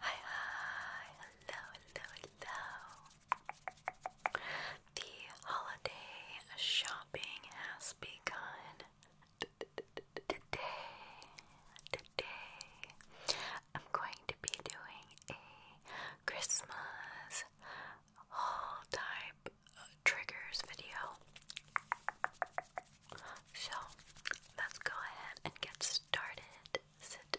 Hi, hi, hello, hello, hello. The holiday shopping has begun. Today, today, I'm going to be doing a Christmas haul type triggers video. So let's go ahead and get started. Sit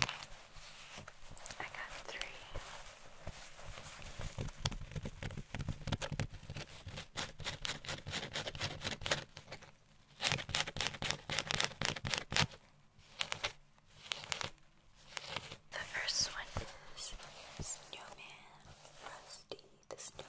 I got three. The first one is Snowman Frosty the stuff in.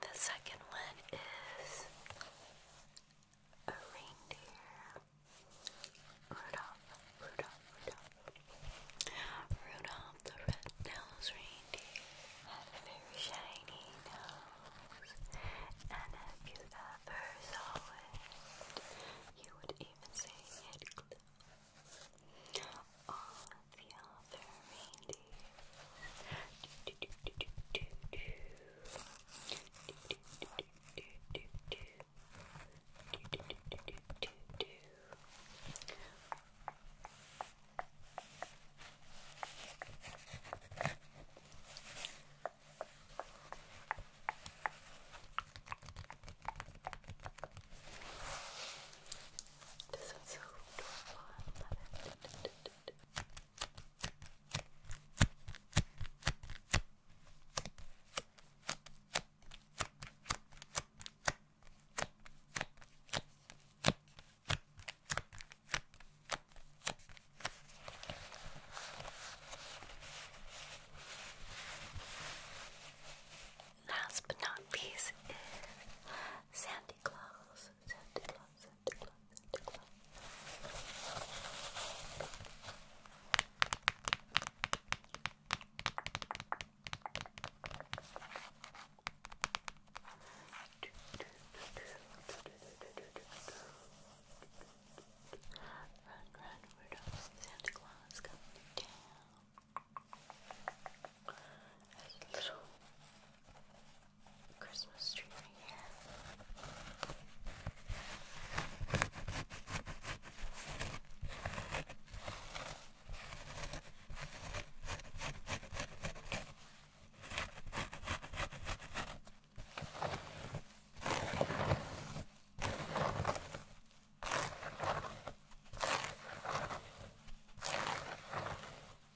The second one is a reindeer. Rudolph, Rudolph, Rudolph. Rudolph the red-nosed reindeer had a very shiny nose. And if you ever saw it, you would even say it glowed all of the other reindeer. This one's Last but not least is Sandy Claus. Claus, Santa Claus, Santa Claus, Santa Claus. Run, run, Rudolph, Santa Claus coming down. As little Christmas tree right here.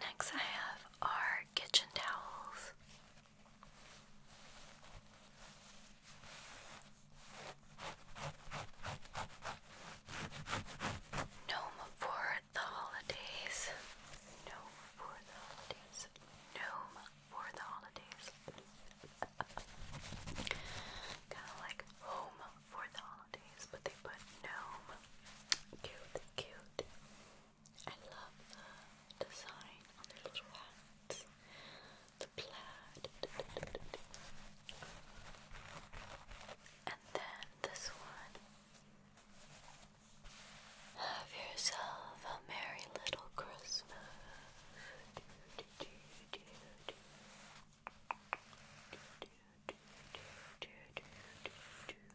Next, I have our kitchen towels. Gnome for the holidays. Gnome for the holidays. Gnome for the holidays. kind of like home for the holidays, but they put gnome. Cute, cute. I love the design on their little hats, the plaid, and then this one. Have yourself a merry little Christmas.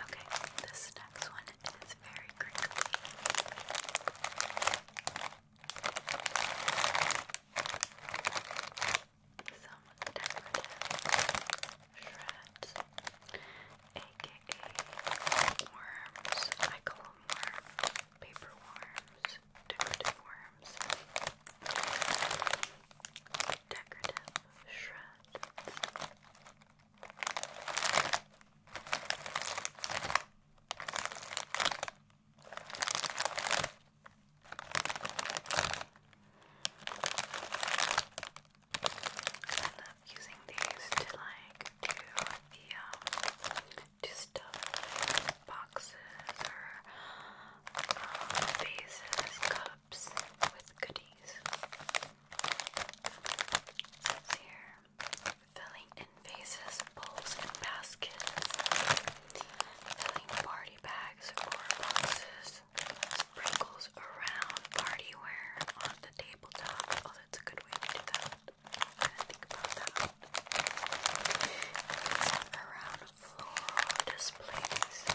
Okay, this next one is very crinkly. Some decorative shreds, aka a worms, I call them paper worms, decorative worms, decorative shreds. I love using these to like do the um to stuff boxes or um, vases, cups with goodies. here, filling vases, bowls, and baskets. Filling party bags or boxes. Sprinkles around party on the tabletop, that's a good way to do that. think about that. It's around floral displays. So.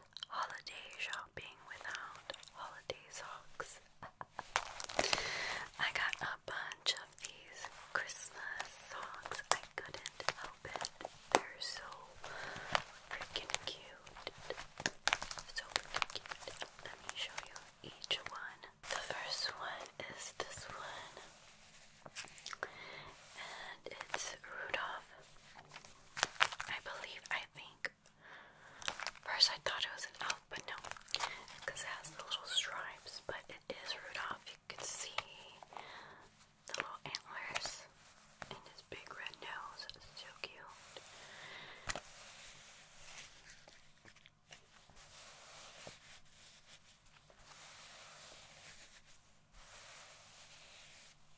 holiday shopping without holiday socks. I got a bunch of these Christmas socks. I couldn't help it. They're so freaking cute. So cute. Let me show you each one. The first one is this one. And it's Rudolph. I believe, I think First I thought it was an elf, but no, because it has the little stripes, but it is Rudolph. You can see the little antlers and his big red nose. so cute.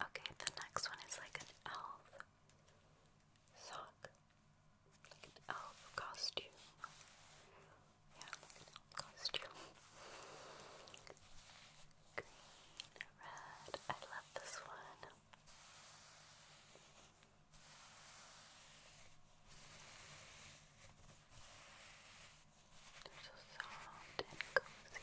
Okay, the next one is like an elf sock. Like an elf costume. Yeah, costume. Green, red. I love this one. They're so soft and cozy.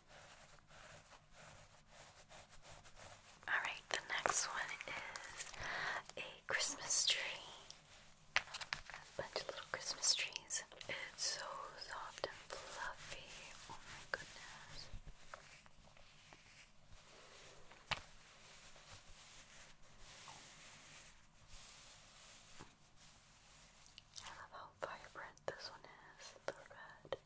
Alright, the next one is a Christmas tree. A bunch of little Christmas trees. It's so soft and fluffy. Oh my goodness. I love how vibrant this one is, the red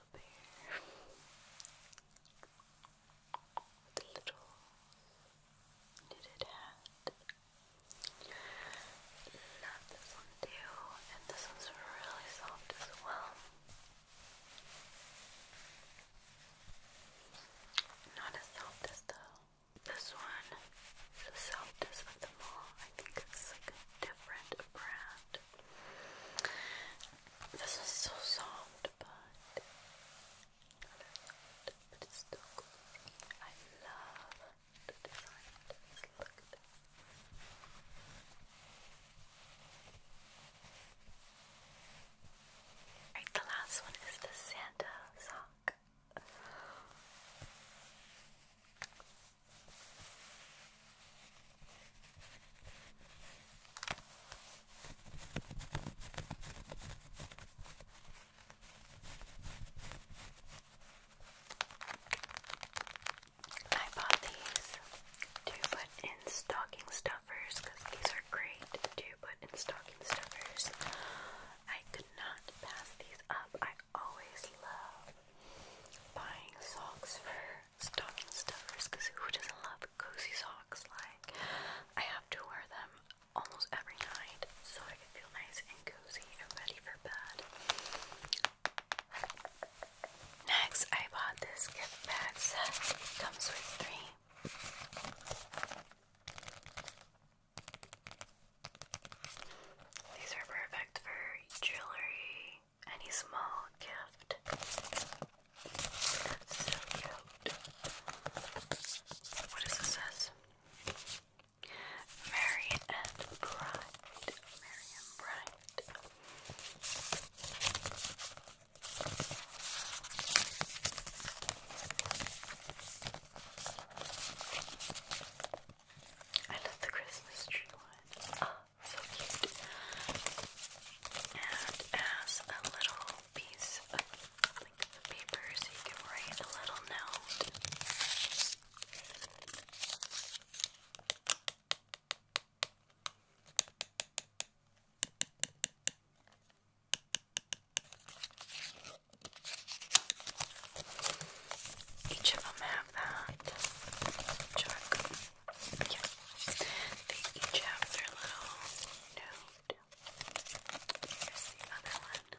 up here little knitted hat. Not this one too, and this one's really soft as well. Not as soft as though. This one is the softest of them all. I think it's like a different brand. This is so soft, but but it's still I love the design of Look at the last one is the Santa sock. I bought these to put in stocking stuffers because these are great to put in stocking stuffers. I could not pass these up. I always love buying socks for stocking stuffers because who doesn't love cozy socks? Like, I have to wear them almost every night so I can feel nice and cozy and ready for bed. Next, I bought this gift bag set. It comes with three. These are perfect for jewelry, any small gift. so cute. What does this says? Merry and bright. Merry and bright. I love the Christmas tree one. Ah so cute. And as a little piece of paper, so you can write a little note. Each of them have that. Check. Yeah. They each have their little note. Here's the other one.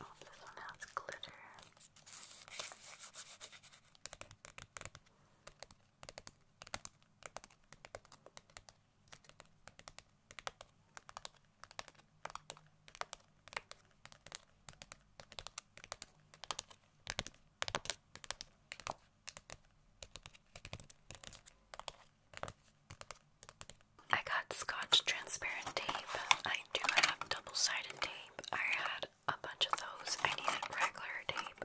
Oh, this one has glitter. I got Scotch transparent tape. I do have double sided tape. I had a bunch of those. I needed regular tape.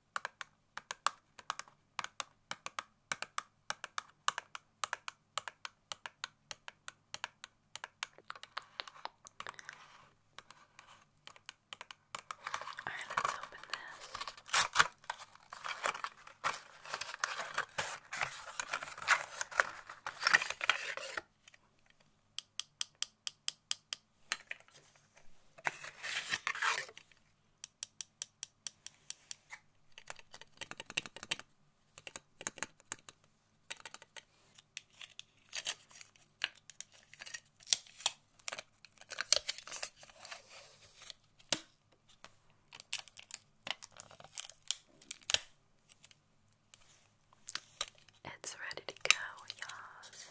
All right, let's open this. It's ready to go, yes.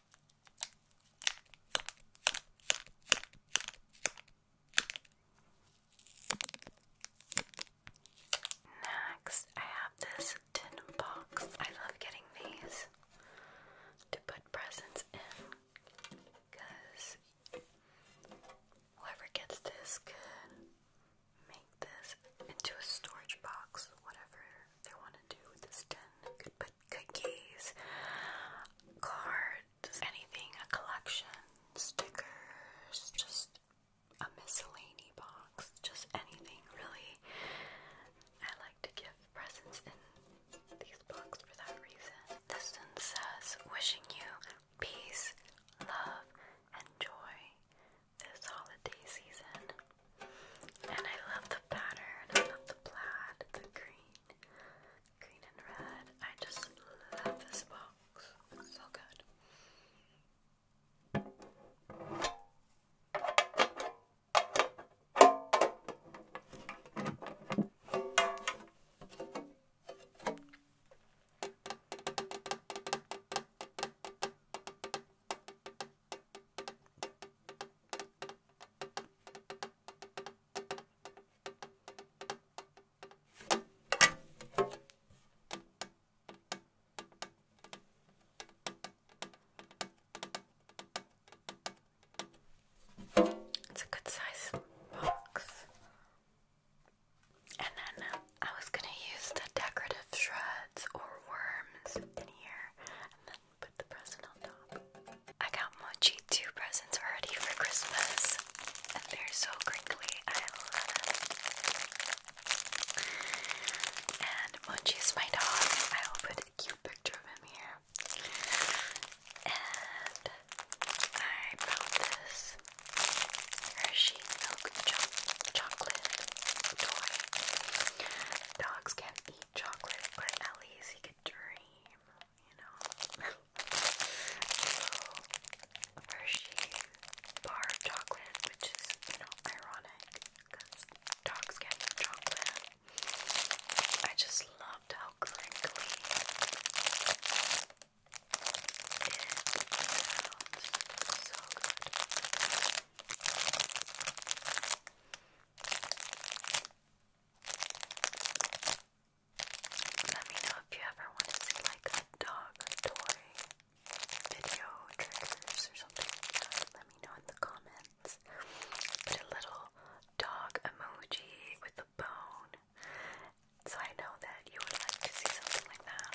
Next, I have this tin box. I love getting these to put presents in because whoever gets this could make this into a storage box, whatever they want to do with this tin. Could put cookies, cards, anything, a collection, stickers, just a miscellany box, just anything really. I like to give presents in these boxes for that reason. This one says, wishing you peace, love, and joy this holiday season. And I love the pattern. I love the plaid. The green. Green and red. I just love this box. so good. It's a good size box. And then I was gonna use the decorative shreds or worms in here, I got Mochi two presents already for Christmas, and they're so crinkly. I love them. And Mochi is my dog. I will put a cute picture of him here. And I bought this Hershey milk chocolate toy. Dogs can't eat chocolate, but at least you can dream, you know. so, Hershey bar chocolate, which is, you know, ironic because dogs get chocolate. I just loved how crinkly it sounds. Let me know if you ever want to see like a dog toy video triggers or something Let me know in the comments. Put a little dog emoji with a bone. So I know that you would like to see something like that.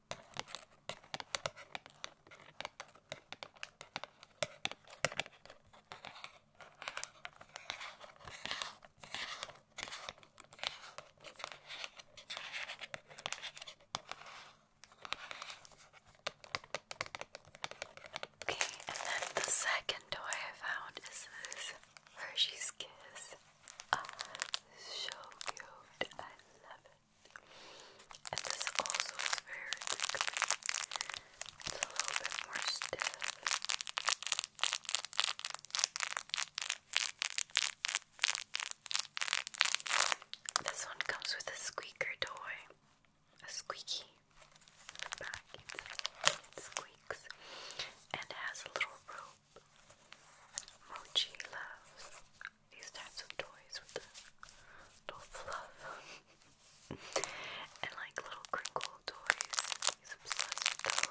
Okay, and then the second toy I found is this Hershey's Kiss. Oh, so cute. I love this also is very It's a little bit more stiff. This one comes with a squeaker toy. A squeaky back. It squeaks. And has a little rope. Mochi loves these types of toys with the little fluff and like little crinkle toys. He's obsessed with those.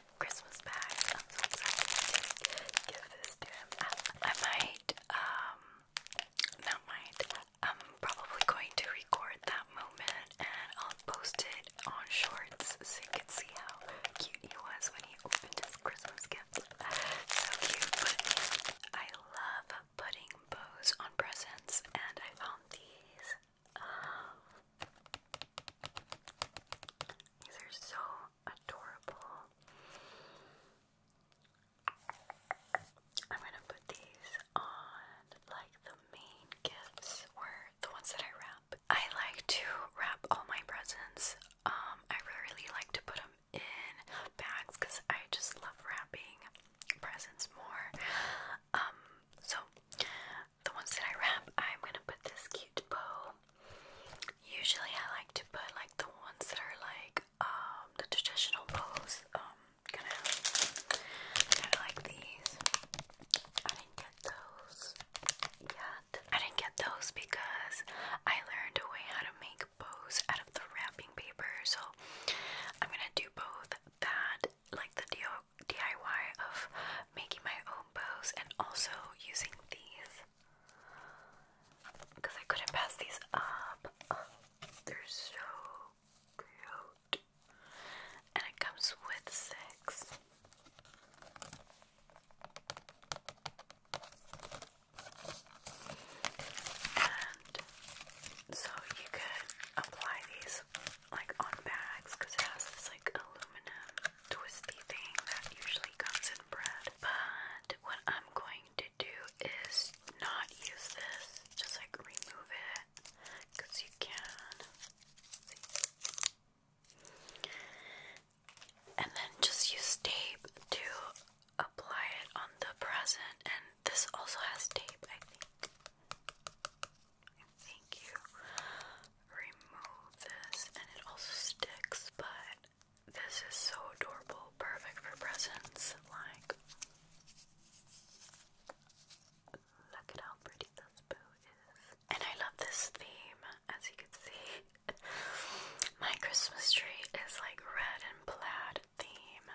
Christmas bags. I'm so excited to give this to him. I, I might, um, not might, I'm probably going to record that moment and I'll post it on shorts so you can see how cute he was when he opened his Christmas gift. So cute, but I love putting bows on presents and I found these. Um, these are so adorable. I'm gonna put these on like the main gifts were the ones that I wrap. I like to wrap all my presents. Um, I really like to put them in bags because I just love wrapping presents more. Um, so the ones that I wrap, I'm gonna put this cute bow. Usually, I like to put like the ones that are like um, the traditional bows. Um, kind of, kind of like these. I didn't get those yet. I didn't get those because I learned a way how to make bows out of the wrapping paper. So I'm gonna do both that, like the DIY DIY of making my own bows and also using these because I couldn't pass these up. they're so cute. And it comes with six. And so you could apply these like on bags because it has this like aluminum twisty thing that usually comes in bread. But what I'm going to do is not use this, just like remove it because you can. And then just use tape to apply it on the present. And this also has tape, I think. I you remove this and it also sticks, but this is so adorable, perfect for presents. Like, look at how pretty this bow is. And I love this theme, as you can see. My Christmas tree is like red and plaid theme.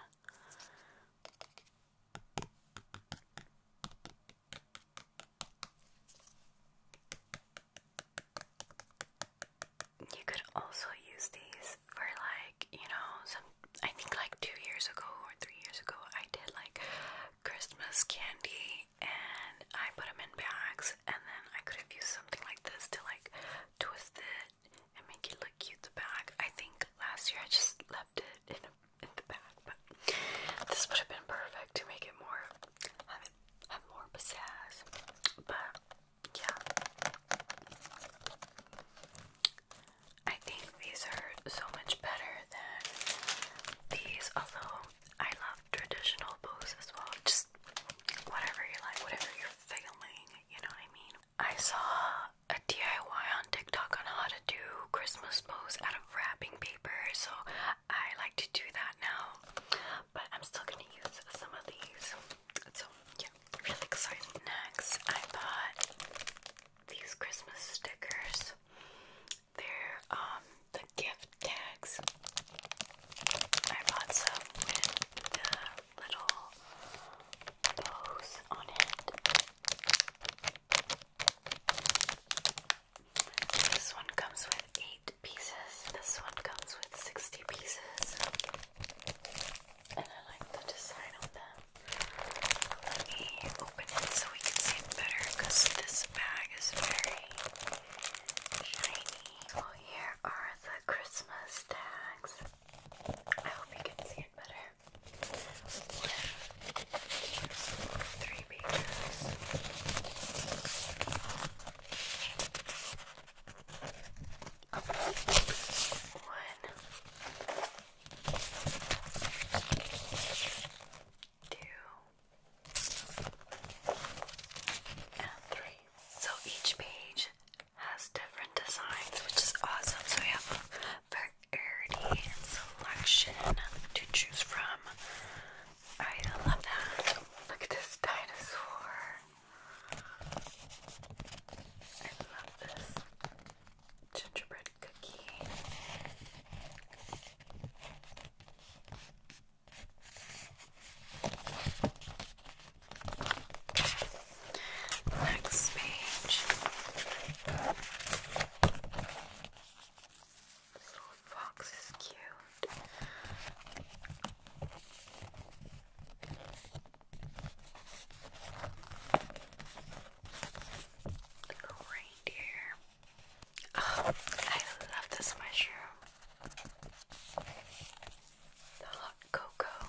You could also use these for like, you know, some I think like two years ago or three years ago I did like Christmas candy and I put them in bags and then I could have used something like this to like twist it and make it look cute the bag. I think last year I just left it in, in the bag but this would have been perfect to make it more have have more pizzazz. But yeah. I think these are so much better than these, although I love traditional bows as well. Just whatever you like, whatever you're feeling, you know what I mean? I saw a DIY on TikTok on how to do Christmas bows. out of wrapping paper, so I like to do that now. But I'm still gonna use some of these. So yeah, really excited. Next, I bought these Christmas stickers. They're um the gift tags. I bought some with the little bows on it. This one comes with eight pieces. This one comes with sixty pieces, and I like the design on them. Let me open it so we can see it better, because this bag is very shiny. Well, oh, here are the Christmas tags. I hope you can see it better. One, two, three, one, two, and three. So each page has different designs, which is awesome. So we have a variety and selection to choose from. I love that. Look at this dinosaur. I love this gingerbread cookie. Next page. This little fox is cute. Little reindeer. Oh, I love this mushroom. The hot cocoa.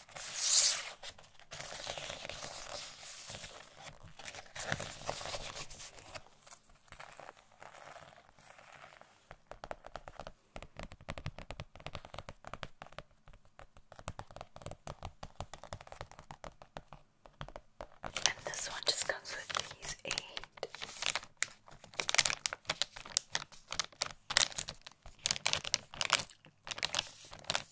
And this one just comes with these eight.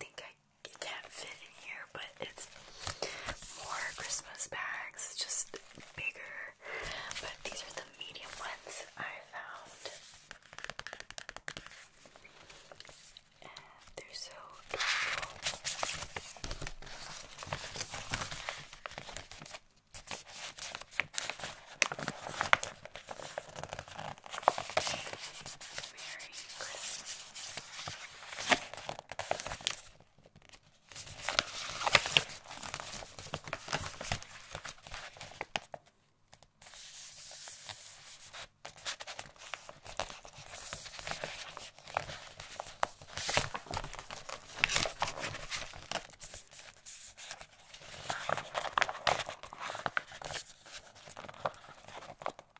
think I it can't fit in here, but it's more Christmas bags, just bigger. But these are the medium ones I found. And they're so adorable. Merry Christmas.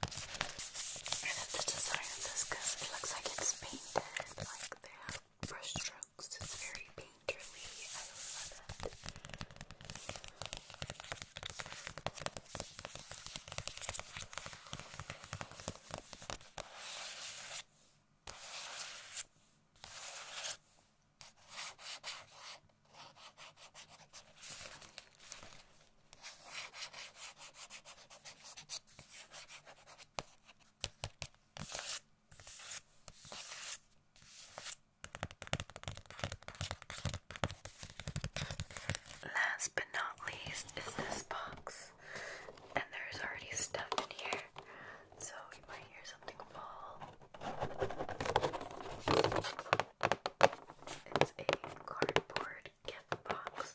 the design of it looks like it's painted, like they have brush strokes. It's very painterly. I love it. Last but not least is this box, and there's already stuff in here, so you might hear something fall. It's a cardboard gift box.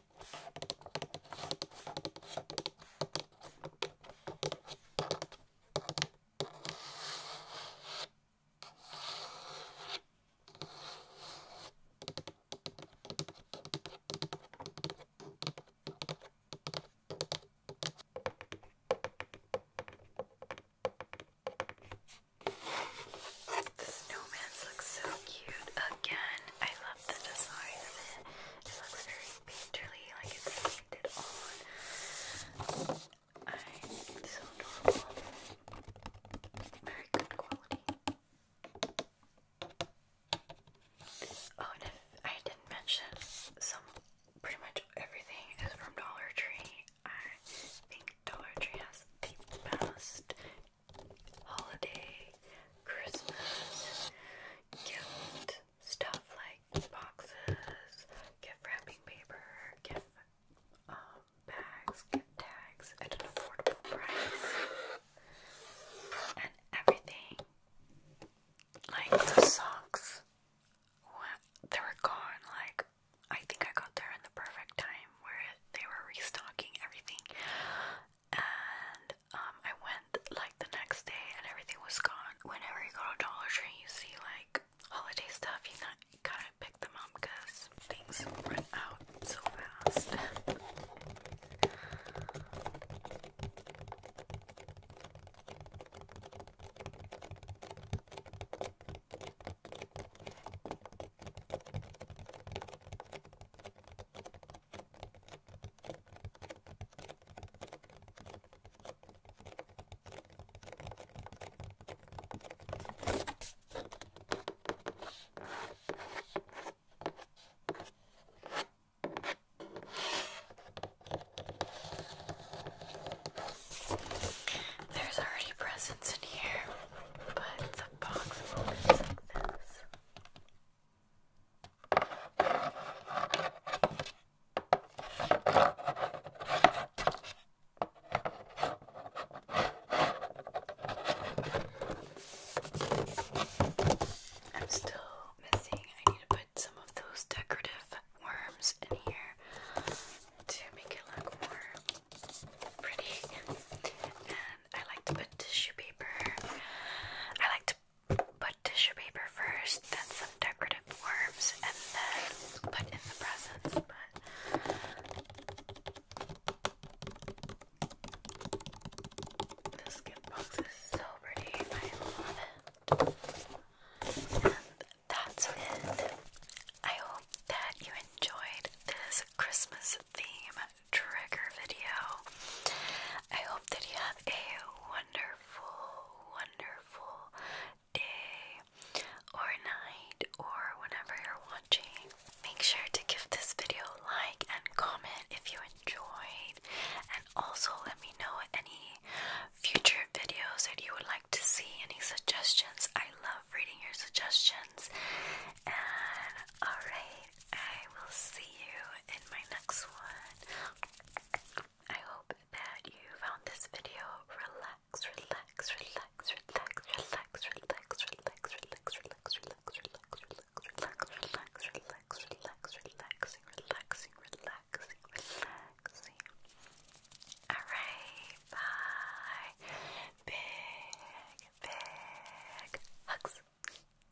The snowman so cute again. I the design of it. It looks very painterly, like it's painted on. I so adorable. Very good quality. Oh, and if I didn't mention, some pretty much everything is from Dollar Tree. I think Dollar Tree has the best holiday Christmas gift stuff like boxes, gift wrapping paper, gift um, bags, gift tags at an affordable price, and everything like the socks. What? They were gone. Like I think I got there in the perfect time where they were restocking everything, and um, I went like the next day and everything was gone. Whenever you go to Dollar Tree, you see like holiday stuff, you not you pick them up because things run out so fast. There's already presents in here, but the box looks like this. I'm still missing. I need to put some of those decorative worms in here to make it look more pretty. And I like to put tissue paper. I like to Put tissue paper first, then some decorative worms, and then put in the presents. But this gift box is so pretty. I love it. that's it. I hope that you enjoyed this Christmas theme trigger video. I hope that you have a wonderful, wonderful day or night or whenever you're watching. Make sure to give this video a like and comment if you enjoyed, and also let me know any future videos that you would like to see, any suggestions. I love reading your suggestions. And alright. I will see you in my next one. I hope that you found this video relax, relax, relax, relax, relax, relax, relax, relax, relax, relax, relax, relax, relax, relax, relax, relaxing, relaxing, relaxing, relaxing. Alright, bye. Big, big hugs.